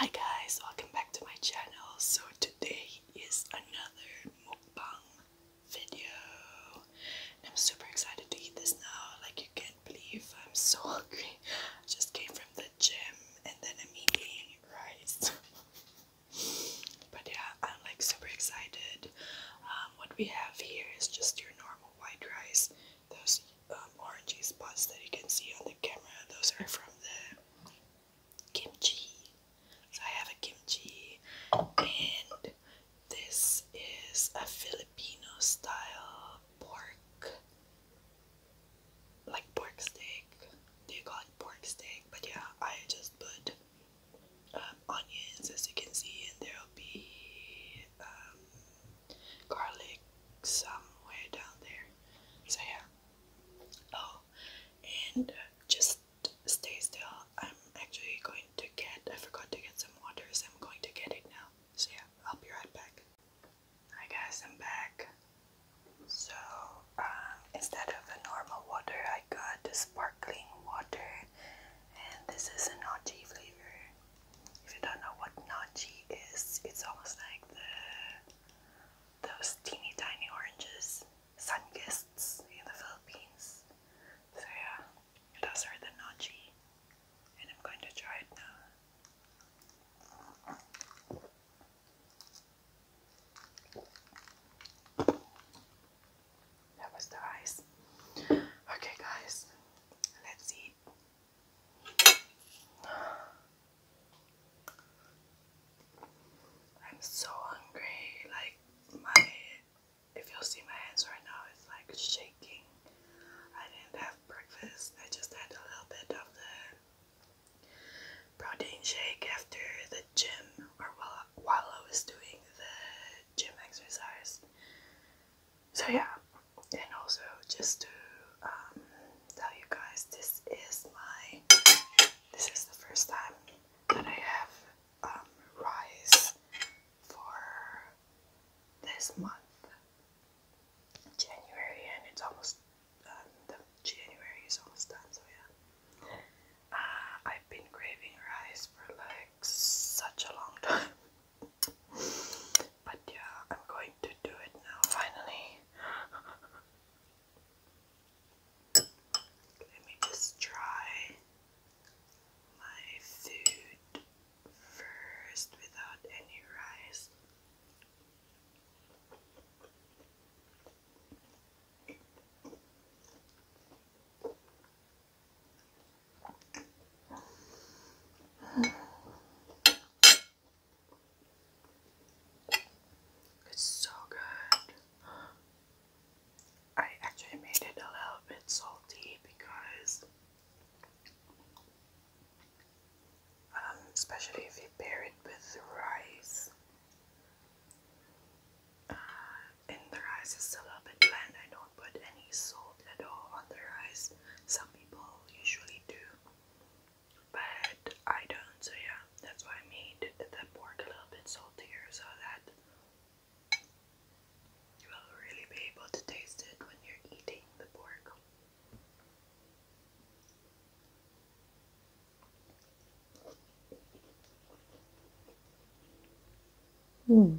Hi guys, welcome back to my channel. So today is another mukbang video. I'm super excited to eat this now. Like you can't believe I'm so hungry. just came from the gym and then I'm eating rice. but yeah, I'm like super excited. Um, what we have here is just your normal white rice those um, orangey spots that you can see on the camera, those are from the kimchi. I have a kimchi, and this is a Filipino style pork, like pork steak. They call it pork steak, but yeah, I just put um, onions as you can see, and there'll be um, garlic somewhere down there. So yeah. Oh, and just stay still. I'm actually going to get. I forgot to get some water, so I'm going to get it now. So yeah, I'll be right back. Hi guys, I'm back. So um, instead of the normal water, I got the sparkling water, and this is an OG flavor. If you don't know what nachi is, it's almost like the those teeny tiny oranges, sun guests in the Philippines. So yeah, those are the nachi, and I'm going to try it now. That was the ice. Okay, guys, let's eat. I'm so hungry. Like my, if you'll see my hands right now, it's like shaking. I didn't have breakfast. I just had a little bit of the protein shake after the gym, or while while I was doing the gym exercise. So yeah, and also just to um, tell you guys, this is my this is the first time that I have um, rice for this month, January, and it's almost um, the January is almost done. So yeah, uh, I've been craving rice for like such a long time. But yeah, I'm going to do it now finally. Let me just try my food first without any rice. It's so good. I actually made it a little bit salty because, um, especially if you pair it with rice, uh, and the rice is a little bit bland. I don't put any salt at all on the rice, people usually do, but I don't, so yeah, that's why I made the pork a little bit saltier so that you will really be able to taste it when you're eating the pork. Mm.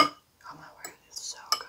Oh my word, it's so good.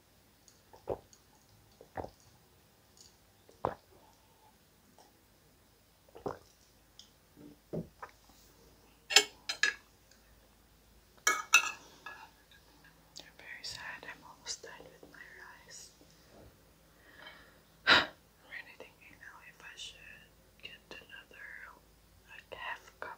I'm very sad. I'm almost done with my rice. I'm really thinking now if I should get another half cup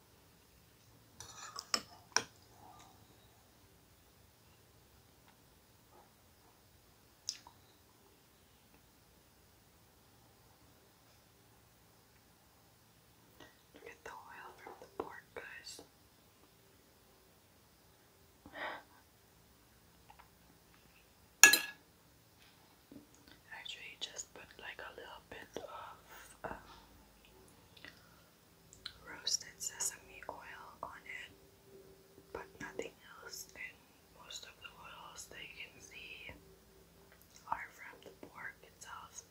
Look at the oil from the pork, guys. Actually, just put like a little bit of um, roasted sesame oil on it, but nothing else. And most of the oils that can see are from the pork itself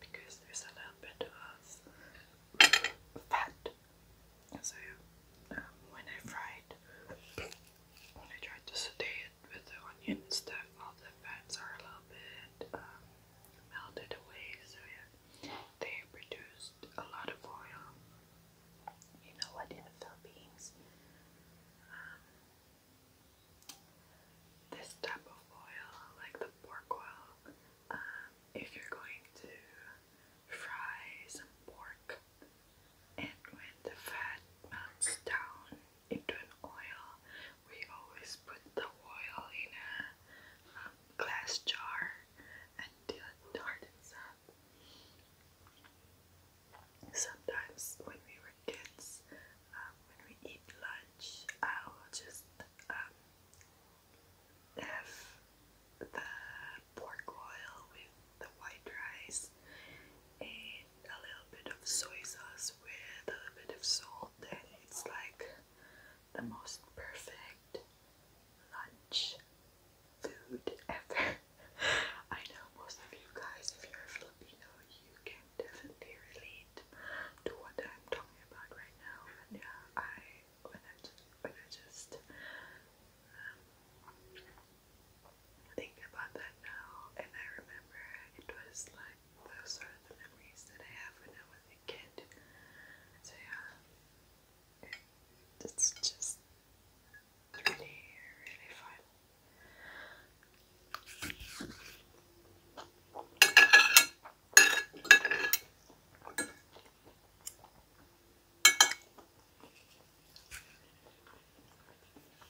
because there's a little bit of fat. So um, when I fried when I tried to saute it with the onion and stuff. All the fats are a little bit um, melted away, so yeah, they produced a lot of oil. You know what? In the Philippines, um, this type of oil, like the pork oil, um, if you're going to fry some pork, and when the fat melts down into an oil. We always put the oil in a um, glass jar until it hardens up. Sometimes when we were kids, um, when we eat lunch, I will just um, have the pork oil with the white rice and a little bit of soy sauce with a little bit of salt and it's like the most perfect lunch food ever. I know most of you guys, if you're Filipino, you can definitely relate to what I'm talking about right now. And yeah, I when I just just um, think about that now, and I remember it was like those sort the memories that I have when I was a kid. So yeah, it's just really, really fun.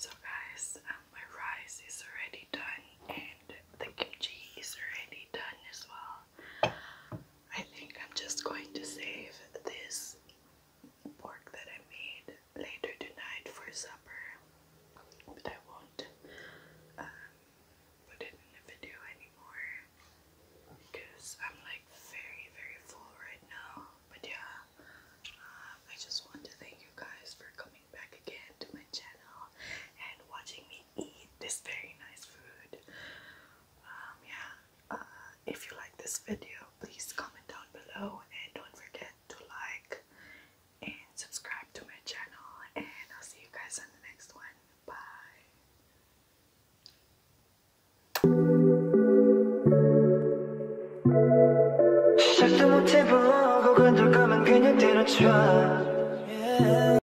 So guys, um, my rice is already done and the kimchi is already done as well. I think I'm just going to save this pork that I made later tonight for supper, but I won't um, put it in a video anymore because I'm like very, very full right now. But yeah, um, I just want to thank you guys for coming back again to my channel and watching me eat this very nice food. Um, yeah, uh, if you like this video, please comment down below and don't forget to like and subscribe to my channel. And I'll see you guys in the next one. Bye.